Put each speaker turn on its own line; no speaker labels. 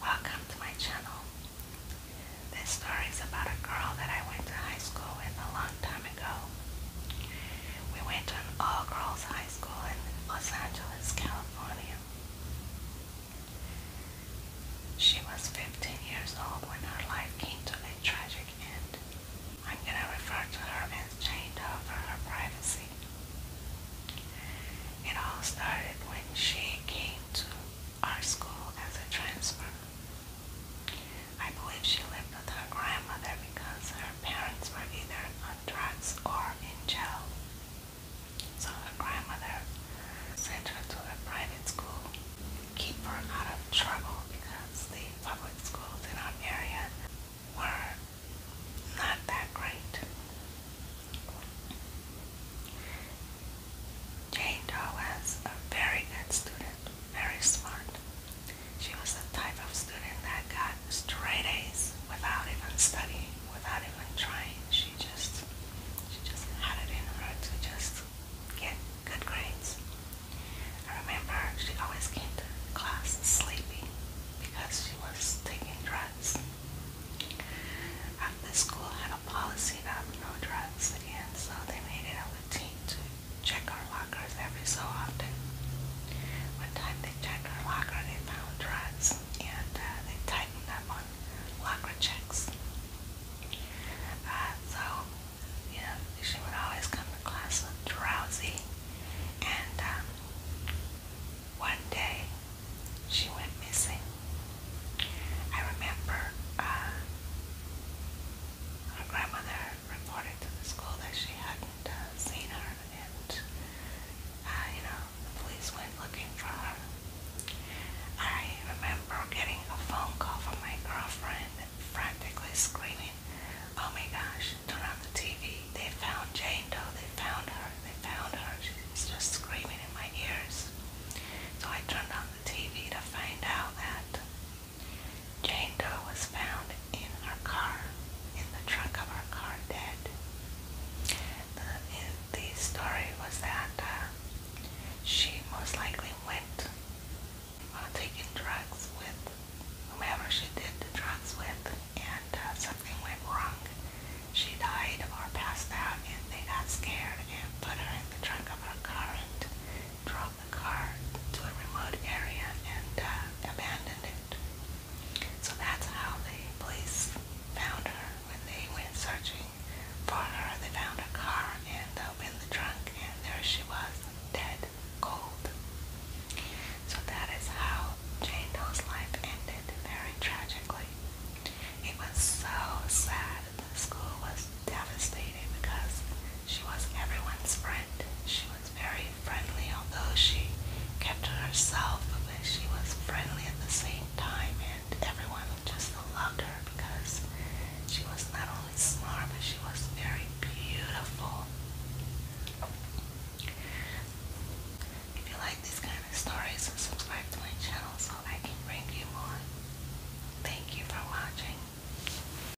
Welcome to my channel. This story is about a girl that I went to high school with a long time ago. We went to an all-girls high school in Los Angeles, California. She was 15 years old when her life came to a tragic end. I'm going to refer to her as Jane Doe her privacy. It all started when she came to our school as a transfer. I believe she lived with her grandmother because her parents were either on drugs or in jail. So her grandmother sent her to a private school, keep her out of trouble because the public schools in our area were not that great. Jane Doe was a very good student, very smart. She was the type of student that got straight A's without even studying, without even trying. She just she just had it in her to just get good grades. I remember she always came to class sleepy because she was taking drugs. The school had a policy about no drugs again, so they made it a routine to check our lockers every so often. One time they checked our locker and they found drugs, and uh, they tightened up on locker checks. Uh, so you know, she would always come to class drowsy. And um, one day she went missing. I remember uh, her grandmother reported to the school that she hadn't uh, seen her, and uh, you know, the police went looking for her. I remember getting a phone call from my girlfriend frantically screaming, Oh my gosh, turn on the TV. They found Jane Doe. They found her. They found her. She was just screaming in my ears. So I turned on the TV to find out that Jane Doe was found in her car, in the trunk of her car, dead the, the story was that uh, she most likely went uh, taking drugs with whomever she did the drugs with, and uh, something went wrong. She died or passed out, and they got scared and put her in the trunk of her car and drove the car to a remote area and uh, abandoned it. So that's how the police found her. When they went searching for her, they found her car and opened the trunk, and there she was, dead, cold. So that is how Jane Doe's life ended, very tragically. It was so sad. The school was devastated because she was everyone's friend. She was was very friendly, although she kept to herself, but she was friendly at the same time, and everyone just loved her because she was not only smart, but she was very beautiful. If you like these kind of stories, subscribe to my channel so I can bring you more. Thank you for watching.